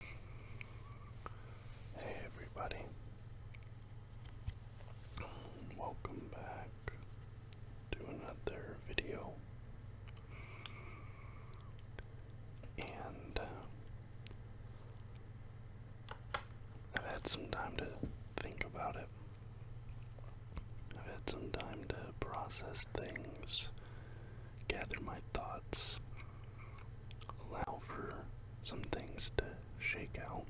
Hey everybody. Welcome back to another video. And uh, I've had some time to think about it. I've had some time to process things gather my thoughts, allow for some things to shake out.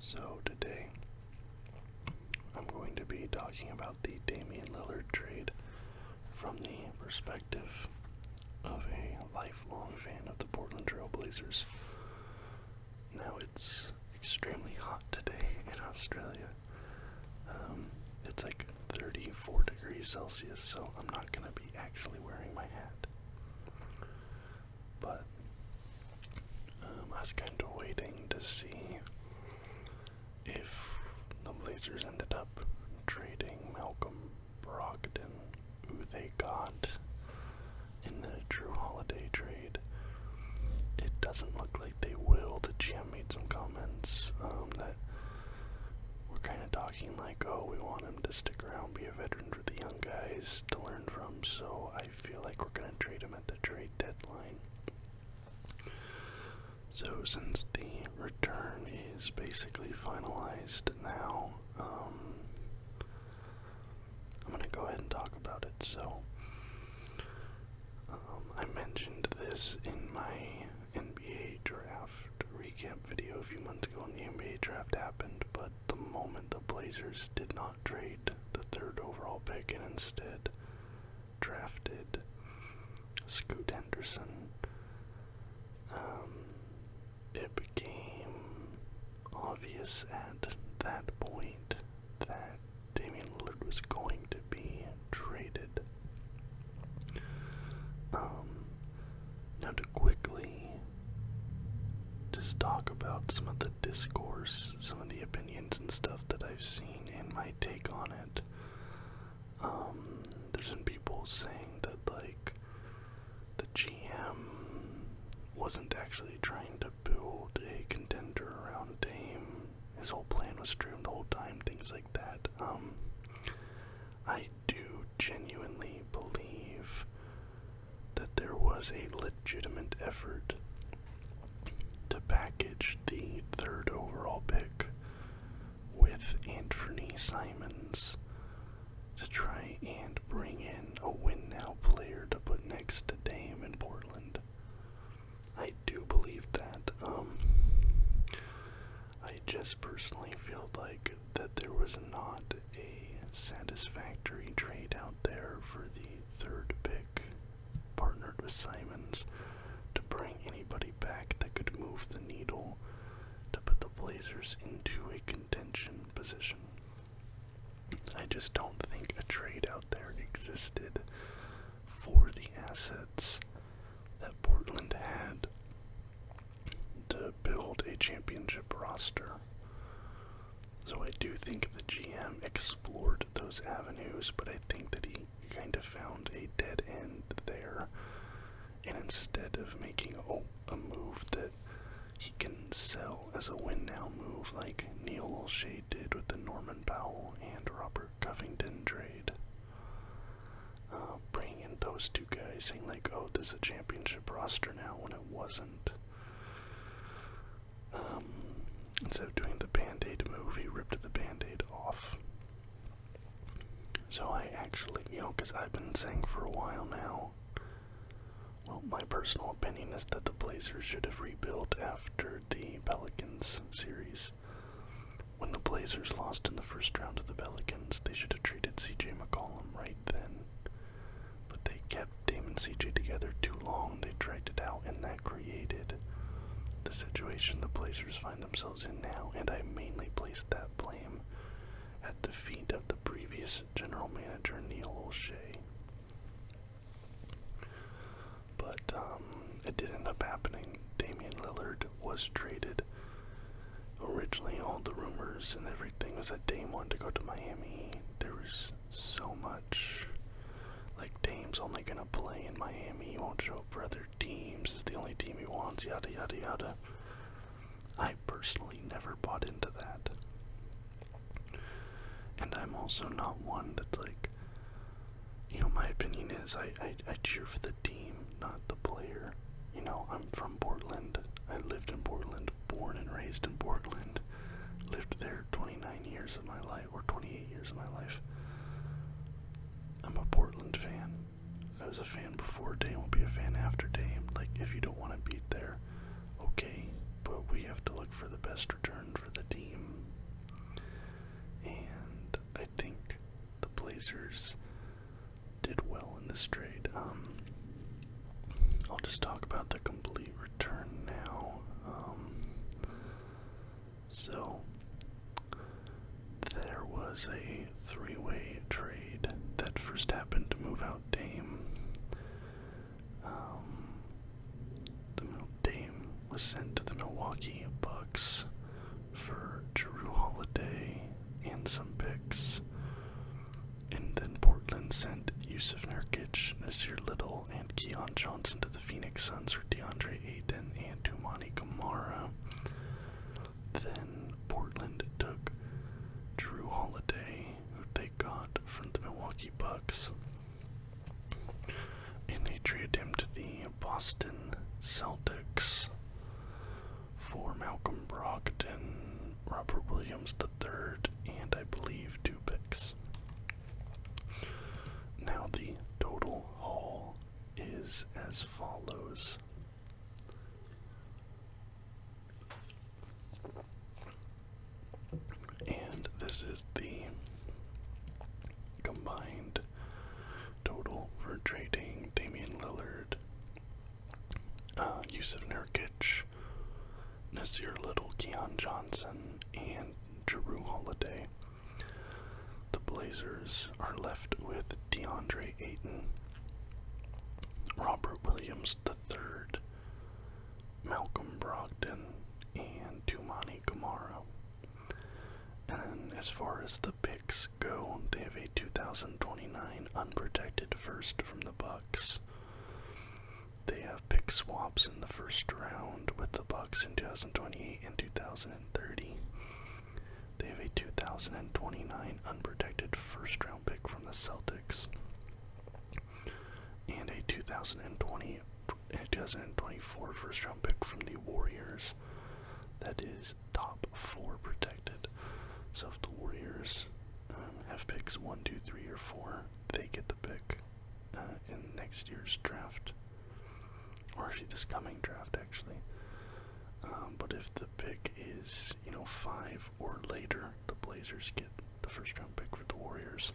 So, today I'm going to be talking about the Damian Lillard trade from the perspective of a lifelong fan of the Portland Trailblazers. Now, it's extremely hot today in Australia. Um, it's like 34 degrees Celsius, so I'm not going to be actually wearing my hat. But um, I was kind of waiting to see if the Blazers ended up trading Malcolm Brogdon, who they got in the True Holiday trade. It doesn't look like they will. The GM made some comments um, that we're kind of talking like, oh, we want him to stick around, be a veteran for the young guys to learn from. So I feel like we're going to trade him at the trade deadline. So since the return is basically finalized now, um, I'm going to go ahead and talk about it. So um, I mentioned this in my NBA draft recap video a few months ago when the NBA draft happened, but the moment the Blazers did not trade the third overall pick and instead drafted Scoot Henderson, um, it became obvious at that point that Damian Lillard was going to be traded. Um, now to quickly just talk about some of the discourse, some of the opinions and stuff that I've seen and my take on it. Um, there's been people saying that like the GM wasn't actually trying to build a contender around Dame. His whole plan was streamed the whole time, things that. Um, I do genuinely believe that there was a legitimate effort to package the third overall pick with Anthony Simons to try and bring in a win now player to put next to Dame in Portland. I do believe that. Um, I just personally feel like that there was not a satisfactory trade out there for the third pick, partnered with Simons, to bring anybody back that could move the needle to put the Blazers into a contention position. I just don't think a trade out there existed for the assets that Portland had to build a championship roster. So I do think the GM explored those avenues, but I think that he kind of found a dead end there. And instead of making a, oh, a move that he can sell as a win now move like Neil O'Shea did with the Norman Powell and Robert for Covington trade. Uh, bringing in those two guys, saying like, "Oh, this is a championship roster now," when it wasn't. Um, instead of doing the Band-Aid move, he ripped the Band-Aid off. So I actually, you know, because I've been saying for a while now. Well, my personal opinion is that the Blazers should have rebuilt after the Pelicans series. When the Blazers lost in the first round to the Pelicans, they should have treated CJ McCollum right then. But they kept Dame CJ together too long, they dragged it out, and that created the situation the Blazers find themselves in now, and I mainly placed that blame at the feet of the previous general manager, Neil O'Shea. But um, it did end up happening. Damian Lillard was traded. Originally, all the rumors and everything was that Dame wanted to go to Miami. There was so much. Like, Dame's only gonna play in Miami, he won't show up for other teams, it's the only team he wants, yada yada yada. I personally never bought into that. And I'm also not one that like, you know, my opinion is I, I, cheer for the team, not the player. You know, I'm from Portland. I lived in Portland, born and raised in Portland. Lived there 29 years of my life, or 28 years of my life. I'm a Portland fan. I was a fan before Dame, will be a fan after Dame. Like, if you don't want to beat there, okay, but we have to look for the best return for the team. And I think the Blazers did well in this trade. Um, I'll just talk about the complete return now. Um, so, there was a three way trade that first happened to move out Dame. Um, the Dame was sent to the Milwaukee Bucks for Drew Holiday and some picks. And then Portland sent Yusuf Nurkic, Nasir Little, and Keon Johnson to the Phoenix Suns for DeAndre Ayton and Tumani Kamara. Then Portland took Drew Holiday, who they got from the Milwaukee Bucks, and they traded him to the Boston Celtics for Malcolm Brogdon, Robert Williams III, and I believe two picks. Now the total haul is as follows. And this is the combined total for trading Damian Lillard, uh, Yusuf Nurkic, Nasir Little, Keon Johnson, and Drew Holiday. The Blazers are left with DeAndre Ayton, Robert Williams III, Malcolm Brogdon, and Tumani Kamara. And as far as the they have a 2029 unprotected first from the Bucks. They have pick swaps in the first round with the Bucks in 2028 and 2030. They have a 2029 unprotected first round pick from the Celtics and a 2020 and a 2024 first round pick from the Warriors that is top four protected. So if the Warriors um, have picks one, two, three, or four, they get the pick uh, in next year's draft, or actually this coming draft, actually. Um, but if the pick is you know five or later, the Blazers get the first round pick for the Warriors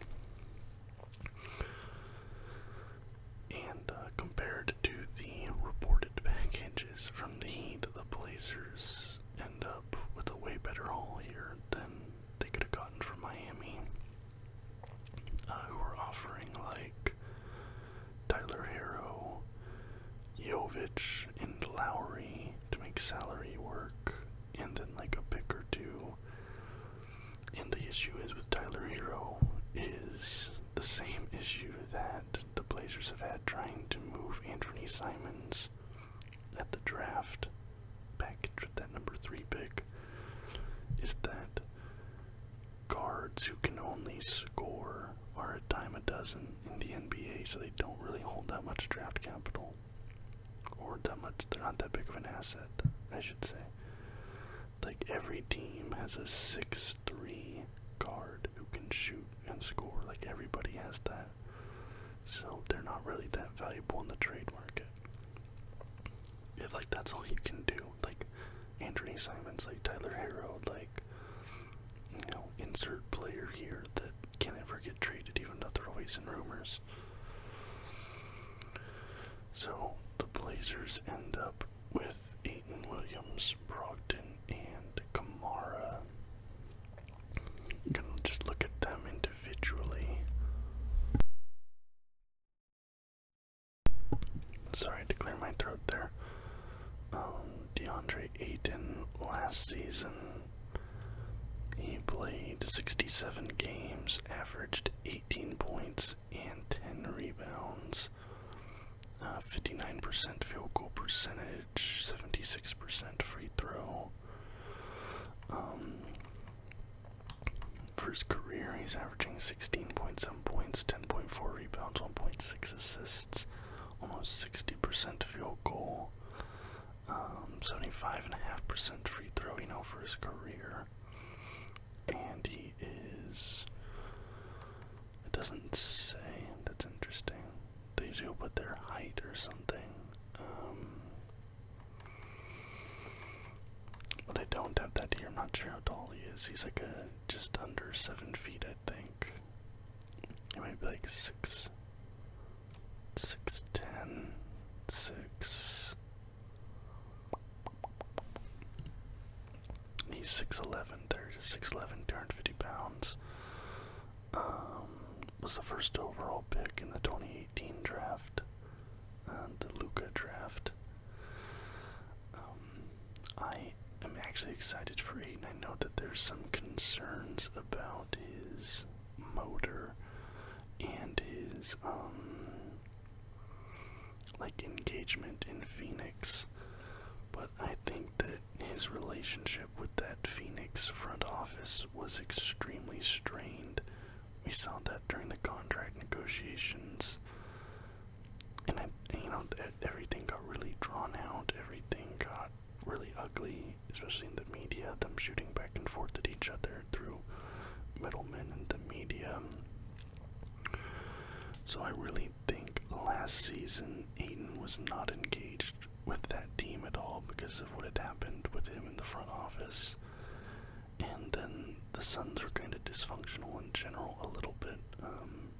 and uh, compared to the reported packages from the Heat, the Blazers end up with a way better haul here than they could have gotten from Miami, uh, who were offering like Tyler Hero, Jovic, and Lowry to make salary work, and then like a pick or two. And the issue is with Tyler Hero is the same issue that the Blazers have had trying to move Anthony Simons at the draft package with that number three pick is that guards who can only score are a dime a dozen in the NBA, so they don't really hold that much draft capital. Or that much, they're not that big of an asset, I should say. Like every team has a 6 3 guard who can shoot and score. Like everybody has that. So they're not really that valuable in the trade market. If like that's all you can do, like Anthony Simons, like Tyler Harrow, like you know, insert player here that can ever get traded, even though they're always in rumors. So the Blazers end up with Aiton Williams, Brogdon, and Kamara. I'm gonna just look at them individually. Sorry to clear my throat there. Um, DeAndre Ayton last season, he played 67 games, averaged 18 points and 10 rebounds. 59% uh, field goal percentage, 76% free throw. Um, for his career, he's averaging 16.7 points, 10.4 rebounds, 1.6 assists, almost 60% field goal, 75.5% um, free throw, you know, for his career. And he is. It doesn't say. That's interesting. They do put their height or something. Um, well, they don't have that here. I'm not sure how tall he is. He's like a just under seven feet, I think. It might be like six, six ten, six He's 6'11, third, 6'11, 250 pounds. Um, was the first overall pick in the 2018 draft, uh, the Luca draft. Um, I am actually excited for Aiden. I know that there's some concerns about his motor and his um, like engagement in Phoenix, but I think that his relationship with that Phoenix front office was extremely strained. We saw that during the contract negotiations, and I, you know, everything got really drawn out. Everything got really ugly, especially in the media. Them shooting back and forth at each other through middlemen and the media. So I really think last season Aiden was not engaged with that team at all because of what had happened with him in the front office. And then the Suns are kind of dysfunctional in general a little bit. Um,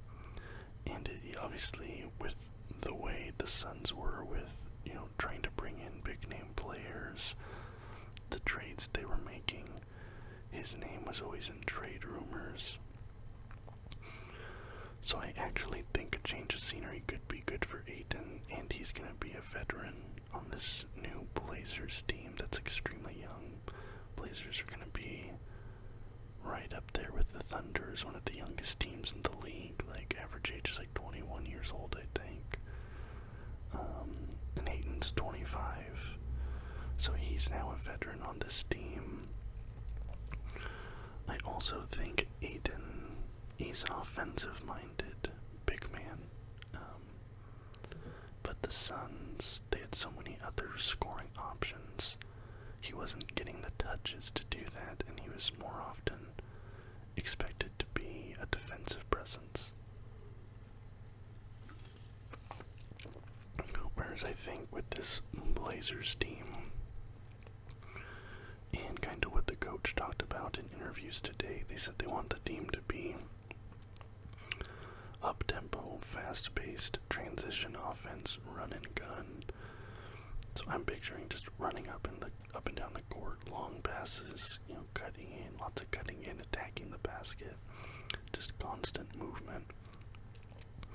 and obviously with the way the Suns were with, you know, trying to bring in big name players, the trades they were making, his name was always in trade rumors. So I actually think a change of scenery could be good for Aiton, and he's going to be a veteran on this new Blazers team that's extremely young. Blazers are going to be right up there with the Thunder is one of the youngest teams in the league. Like, average age is like 21 years old, I think. Um, and Aiton's 25, so he's now a veteran on this team. I also think Aiden, he's an offensive minded big man. Um, but the Suns, they had so many other scoring options. He wasn't getting the touches to do that, and he was more often expected to be a defensive presence. Whereas I think with this Blazers team and kind of what the coach talked about in interviews today, they said they want the team to be up tempo, fast paced, transition offense, running gun. So I'm picturing just running up and the up and down the court, long passes, you know, cutting in, lots of cutting in attacking the basket, just constant movement.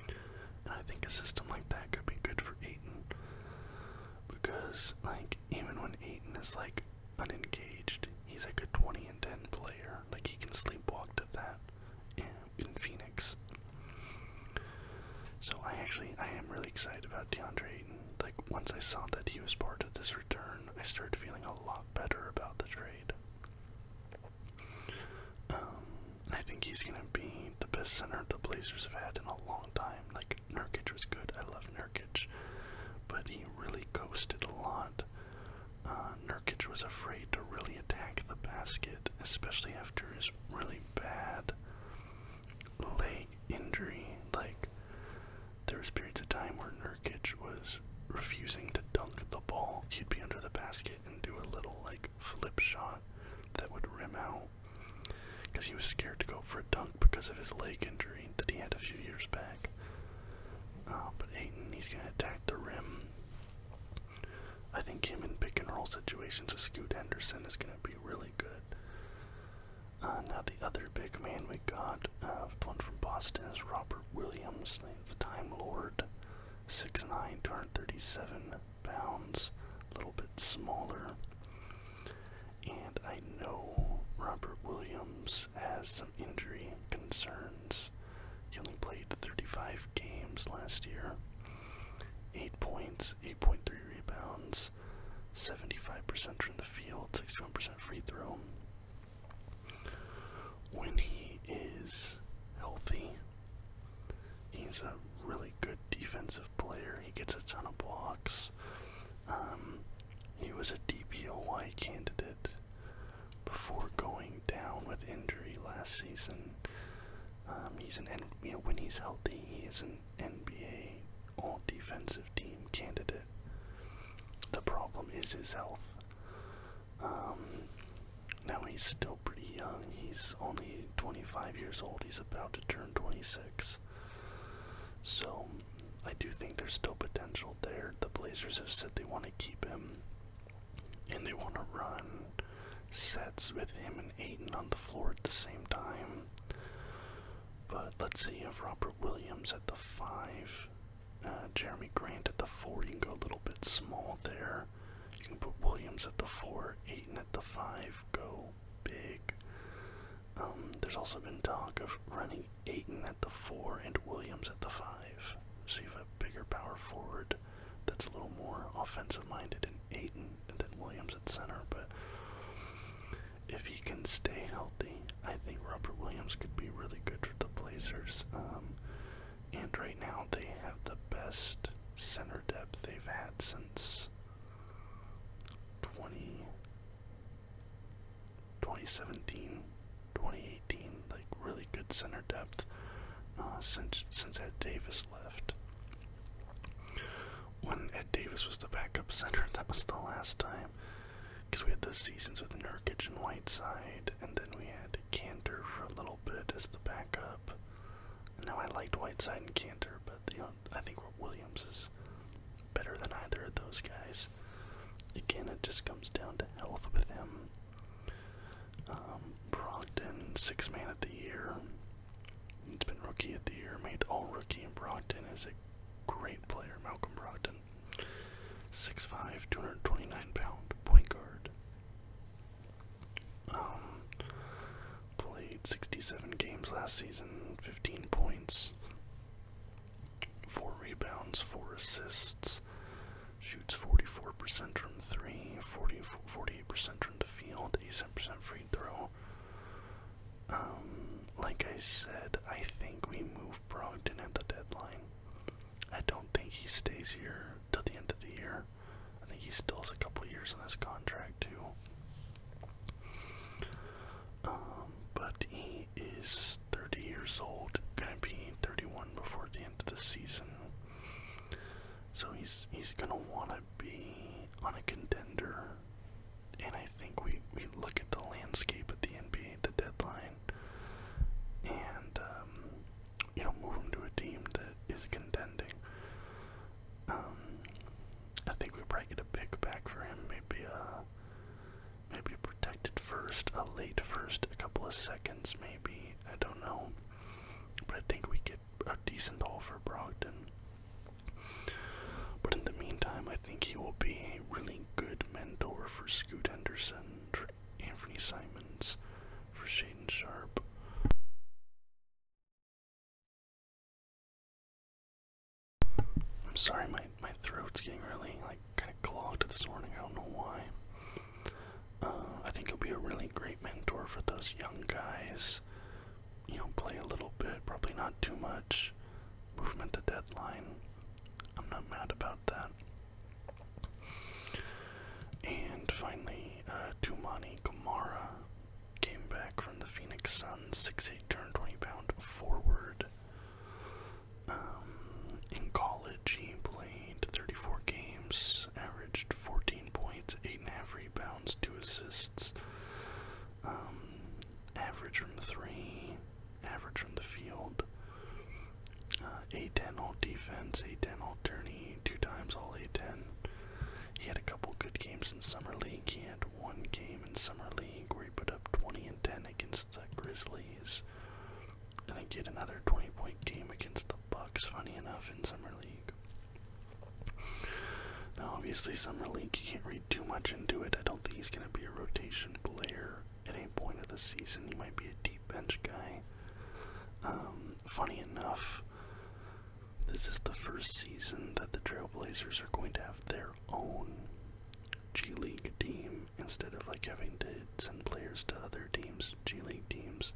And I think a system like that could be good for Aiton because, like, even when Aiton is like unengaged, he's like a 20 and 10 player. Like, he can sleepwalk to that in, Phoenix. So I actually I am really excited about DeAndre Ayton. Like once I saw that he was part of this return, I started feeling a lot better about the trade. Um, I think he's going to be the best center the Blazers have had in a long time. Like, Nurkic was good. I love Nurkic. But he really coasted a lot. Uh, Nurkic was afraid to really attack the basket, especially after his really bad leg injury. Like, there was periods of time where Nurkic was refusing to dunk the ball. He'd be under the basket and do a little like flip shot that would rim out because he was scared to go for a dunk because of his leg injury that he had a few years back. Uh, but Aiton, he's going to attack the rim. I think him in pick and roll situations with Scoot Henderson is going to be really good. Uh, now the other big man we got, uh, one from Boston, is Robert Williams the Time Lord, 6'9", pounds, a little bit smaller. And I know Robert Williams has some injury concerns. He only played 35 games last year. 8 points, 8.3 rebounds, 75% from the field, 61% free throw. When he is healthy, he's a really good defensive player. He gets a ton of blocks. Um, he was a DPOY candidate before going down with injury last season. Um, he's an you know when he's healthy, he is an NBA All Defensive Team candidate. The problem is his health. Um, now he's still pretty young. He's only 25 years old. He's about to turn 26. So I do think there's still potential there. The Blazers have said they want to keep him and they want to run sets with him and Aiden on the floor at the same time. But let's say you have Robert Williams at the 5 uh, Jeremy Grant at the four. You can go a little bit small there. You can put Williams at the four, Aiton at the five. Go big. Um, there's also been talk of running Aiton at the four and Williams at the five. So you have a bigger power forward that's a little more offensive-minded in Aiton and then Williams at center. But if he can stay healthy, I think Robert Williams could be really good for the Blazers. Um, and right now they have the best center depth they've had since 20, 2017, 2018, like really good center depth uh, since since Ed Davis left. When Ed Davis was the backup center, that was the last time because we had those seasons with Nurkic and Whiteside, and then we had Cantor for a little bit as the backup. Now I liked Whiteside and Cantor, but I think what Williams is better than either of those guys. Again, it just comes down to health with him. Um, Brockton, six man of the year. It's been rookie of the year, made all rookie, and Brockton is a great player, Malcolm Brogdon. 6'5", 229 pound point guard. Um, played 67 games last season, 15 points, 4 rebounds, 4 assists, shoots 44% from 3, 48% from the field, 87% free throw. Um, like I said, I think we move Brogdon at the deadline. I don't think he stays here till the end of the year. I think he still has a couple years on his contract too. Um, but he is 30 years old, gonna be 31 before the end of the season. So he's he's gonna wanna be on a contender. And I think we, we look at the landscape at the NBA, the deadline, and um, you know move him to a team that is contending. Um, I think we probably get a pick back for him, maybe uh, a maybe protected first, a late first, a couple of seconds, maybe I don't know, but I think we get a decent offer, Brogdon. But in the meantime, I think he will be a really good mentor for Scoot Henderson, Anthony Simons, for Shaden Sharp. I'm sorry, my, my throat's getting really like kind of clogged this morning. I don't know why. Uh, I think he'll be a really great mentor for those young guys. You know, play a little bit, probably not too much. Movement the deadline. I'm not mad about that. And finally, uh, Tumani Kamara came back from the Phoenix Suns, 6'8 turn 20 pound forward. Um, in college, he played 34 games, averaged 14 points, 8.5 rebounds, 2 assists, um, average from 3, average from the field, uh, A10 all defense, A10 all tourney, two times all A10. He had a couple good games in Summer League. He had one game in Summer League where he put up 20 and 10 against the Grizzlies. I think he had another 20 point game against the Bucks, funny enough, in Summer League. Now, obviously, Summer League, you can't read too much into it. I don't think he's going to be a rotation player at any point of the season. He might be a deep bench guy. Um, funny enough, this is the first season that the Trailblazers are going to have their own G League team instead of like having to send players to other teams, G League teams.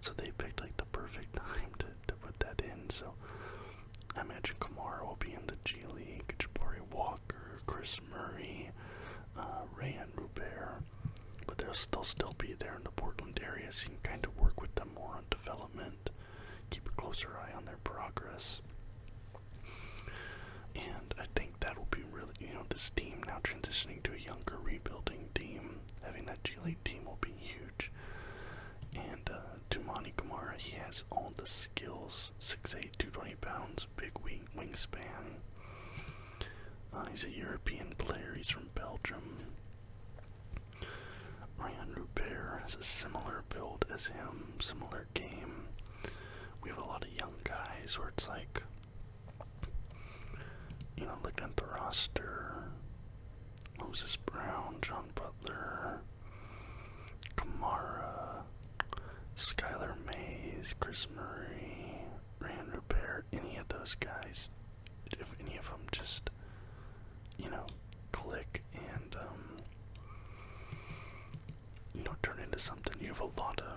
So they picked like the perfect time to, to put that in. So I imagine Kamara will be in the G League, Jabari Wall Chris Murray, uh, Rayan Rupert, but they'll still, be there in the Portland area, so you can kind of work with them more on development, keep a closer eye on their progress. And I think that will be really, you know, this team now transitioning to a younger rebuilding team, having that G League team will be huge. And uh, Tumani Kamara, he has all the skills 6'8, 220 pounds, big wheel wingspan. Uh, he's a European player. He's from Belgium. Ryan Rupert has a similar build as him, similar game. We have a lot of young guys where it's like, you know, looking at the roster Moses Brown, John Butler, Kamara, Skylar Mays, Chris Murray, Rand Repair, any of those guys, if any of them just, you know, click and, um, you know, turn into something, you have a lot of,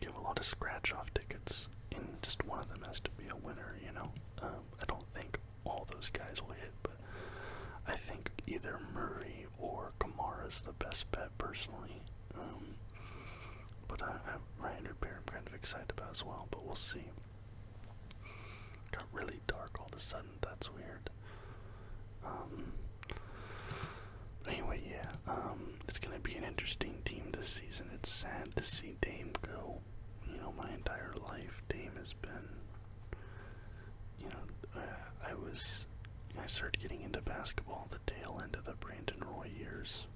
you have a lot of scratch-off tickets, and just one of them has to be a winner, you know? Um, I don't think all those guys will hit, but I think either Murray or Kamara's the best bet personally. Um, but I, I Ryan pair I'm kind of excited about as well, but we'll see. Got really dark all of a sudden. That's weird. Um, anyway, yeah, um, it's gonna be an interesting team this season. It's sad to see Dame go. You know, my entire life, Dame has been. You know, uh, I was I started getting into basketball at the tail end of the Brandon Roy years,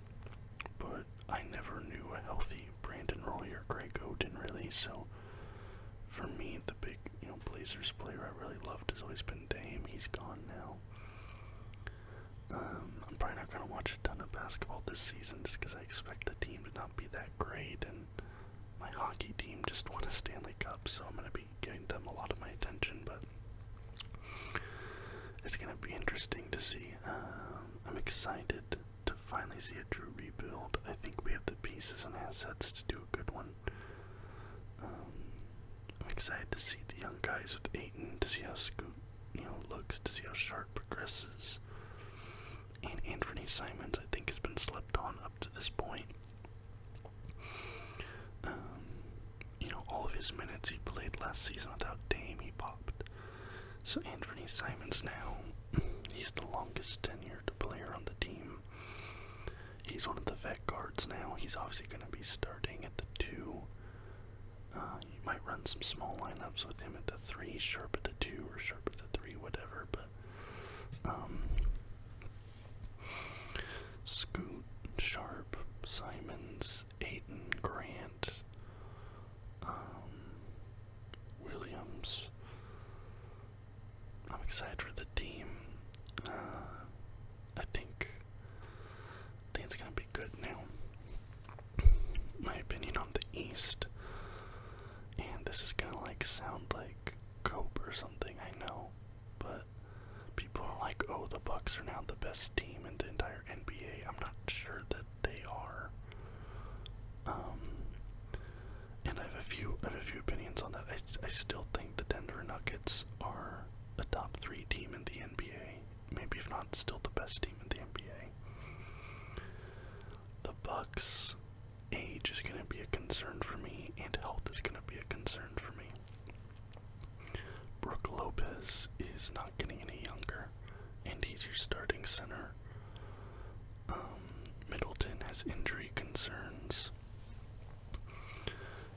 but I never knew a healthy Brandon Roy or Greg Oden really. So for me, the big you know Blazers player I really loved has always been Dame. He's gone now. Um, I'm probably not gonna watch a ton of basketball this season just because I expect the team to not be that great, and my hockey team just won a Stanley Cup, so I'm gonna be be them a lot of my attention, but it's gonna be interesting to see. Um, I'm excited to finally see a true rebuild. I think we have the pieces and assets to do a good one. Um, I'm excited to see the young guys with Aiton, to see how Scoot, you know, looks, to see how Sharp progresses. And Anthony Simons, I think, has been slept on up to this point. Um, you know, all of his minutes he played last season without Dame, he popped. So Anthony Simons now, he's the longest tenured player on the team. He's one of the vet guards now. He's obviously going to be starting at the two. you uh, might run some small lineups with him at the three, sharp at the two, or sharp at the three, whatever. But um, Scoot, Sharp, Simons, Ayton, Grant, um, Williams. I'm excited for the team. Uh, I think, I think it's gonna be good now. My opinion on the East, and this is gonna like sound like cope or something. I know, but people are like, oh, the Bucks are now the best team in the entire NBA. I'm not sure that they are. Um, and I have a few, I have a few opinions on that. I, I still think the Denver Nuggets are a top three team in the NBA. Maybe if not, still the best team in the NBA. The Bucks' age is going to be a concern for me, and health is going to be a concern for me. Brooke Lopez is not getting any younger, and he's your starting center. Um, Middleton has injury concerns.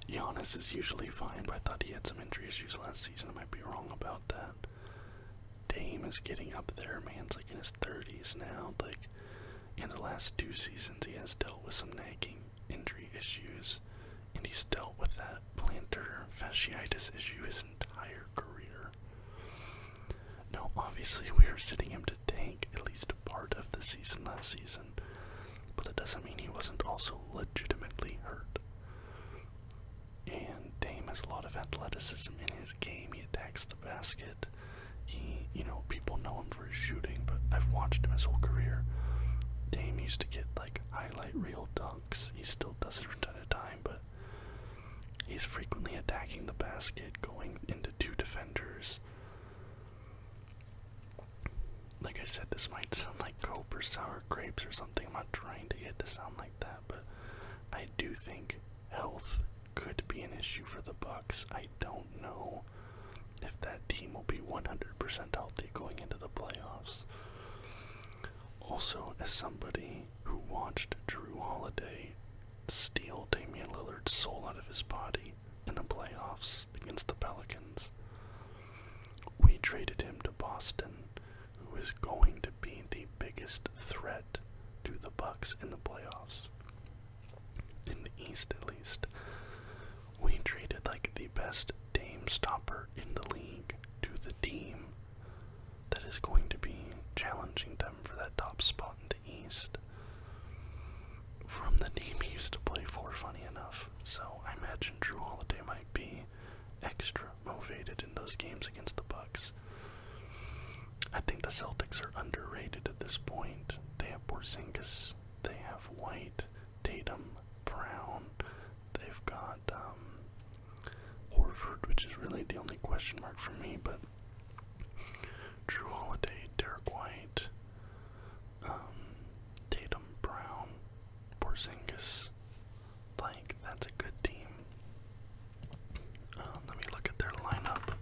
Giannis is usually fine, but I thought he had some injury issues last season. I might be wrong about that. Dame is getting up there, man's like in his 30s now. Like in the last two seasons, he has dealt with some nagging injury issues, and he's dealt with that plantar fasciitis issue his entire career. Now, obviously, we are sitting him to tank at least part of the season last season, but that doesn't mean he wasn't also legitimately hurt. And Dame has a lot of athleticism in his game. He attacks the basket. He, you know, people know him for shooting, but I've watched him his whole career. Dame used to get like highlight reel dunks. He still does it from time to time, but he's frequently attacking the basket, going into two defenders. Like I said, this might sound like cope or sour grapes or something. I'm not trying to get to sound like that, but I do think health could be an issue for the Bucks. I don't know if that team will be 100% healthy going into the playoffs. Also, as somebody who watched Drew Holiday steal Damian Lillard's soul out of his body in the playoffs against the Pelicans, we traded him to Boston, who is going to be the biggest threat to the Bucks in the playoffs. In the East, at least, we traded like the best Dame stopper in the league to the team that is going to be challenging them for that top spot in the East from the team he used to play for, funny enough. So I imagine Drew Holiday might be extra motivated in those games against the Bucks. I think the Celtics are underrated at this point. They have Porzingis, they have White, Tatum, Brown. They've got um, Horford, which is really the only question mark for me, but Drew Holiday, Derek White, um, Tatum, Brown, Porzingis. Like, that's a good team. Um, let me look at their lineup.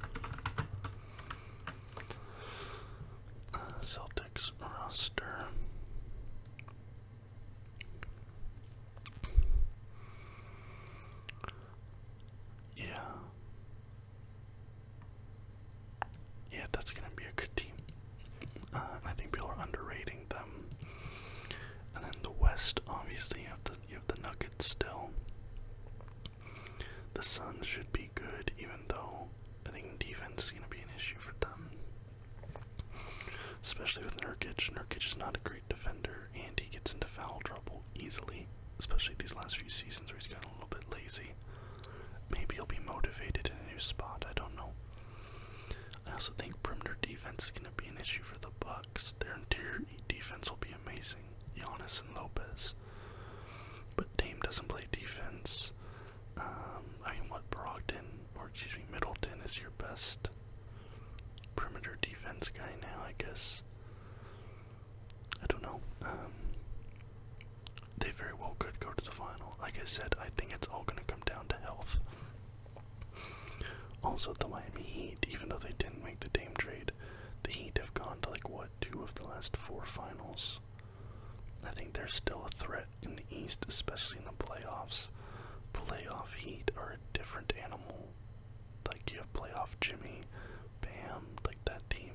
Uh, Celtics roster. Yeah. Yeah, that's gonna be a good team. Uh, I think people are underrating them. And then the West, obviously, you have the Nuggets still. The Suns should be good, even though I think defense is going to be an issue for them. Especially with Nurkic. Nurkic is not a great defender, and he gets into foul trouble easily, especially these last few seasons where he's gotten a little bit lazy. Maybe he'll be motivated in a new spot, I don't know. I also think perimeter defense is going to be an issue for the Bucks. Their interior defense will be amazing, Giannis and Lopez. But Dame doesn't play defense. Um, I mean, what Brogdon, or excuse me, Middleton is your best perimeter defense guy now, I guess. I don't know. Um, they very well could go to the final. Like I said, I think it's all going to come down to health. Also, the Miami Heat, even though they didn't make the Dame trade, the Heat have gone to like what two of the last four finals. I think there's still a threat in the East, especially in the playoffs. Playoff Heat are a different animal. Like you have playoff Jimmy, Bam, like that team.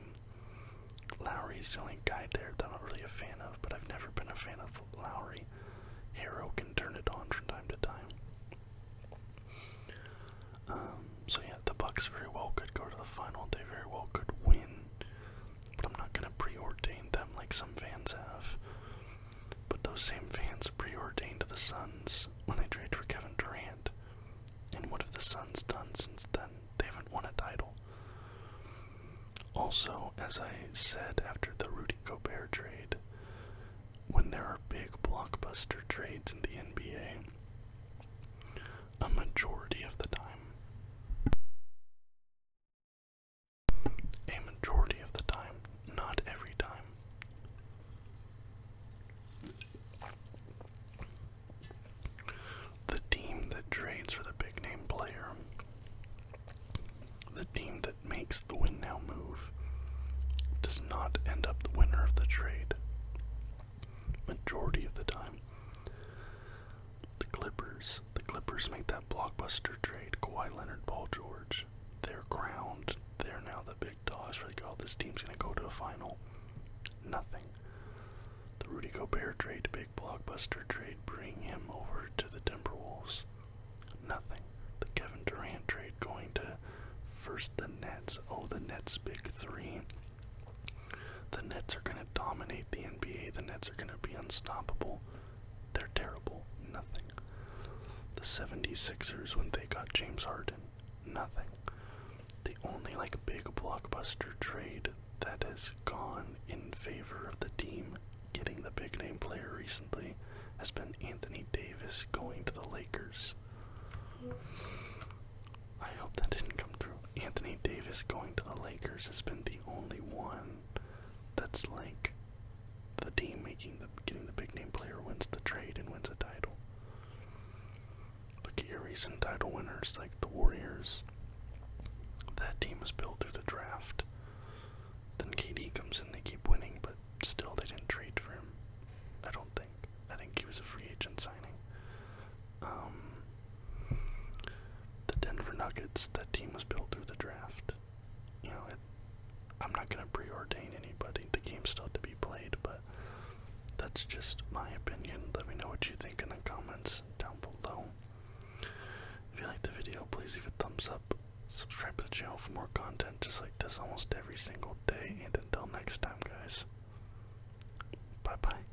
Lowry's the only guy there that I'm really a fan of, but I've never been a fan of Lowry. Hero can turn it on from time to time. Um, so yeah, the Bucks very well could go to the final. They very well could win but I'm not gonna preordain them like some fans have. But those same fans preordained the Suns when they traded for Kevin Durant. And what have the Suns done since then? They haven't won a title. Also, as I said after the Rudy Gobert trade, when there are big blockbuster trades in the NBA, a majority of the time. A majority of the time, not every time. The team that trades for the big name player, the team that makes the win now move, does not end up the winner of the trade. Majority of the time. The Clippers. The Clippers make that blockbuster trade. Kawhi Leonard, Paul George. They're crowned. They're now the big dogs. Like, oh, this team's gonna go to a final. Nothing. The Rudy Gobert trade, big blockbuster trade, bring him over to the Timberwolves. Nothing. The Kevin Durant trade going to first the Nets. Oh, the Nets big three. The Nets are going to dominate the NBA. The Nets are going to be unstoppable. They're terrible. Nothing. The 76ers, when they got James Harden, nothing. The only, like, big blockbuster trade that has gone in favor of the team getting the big name player recently has been Anthony Davis going to the Lakers. I hope that didn't come through. Anthony Davis going to the Lakers has been the only one that's like the team making the getting the big name player wins the trade and wins a title. Look at your recent title winners like the Warriors. That team was built through the draft. Then KD comes in, they keep winning, but still they didn't trade for him. I don't think. I think he was a free agent signing. Um, the Denver Nuggets, that team was built through the draft. You know, it, I'm not going to preordain anybody. The game's still to be played, but that's just my opinion. Let me know what you think in the comments down below. If you liked the video, please give it a thumbs up. Subscribe to the channel for more content just like this almost every single day. And until next time, guys, bye bye.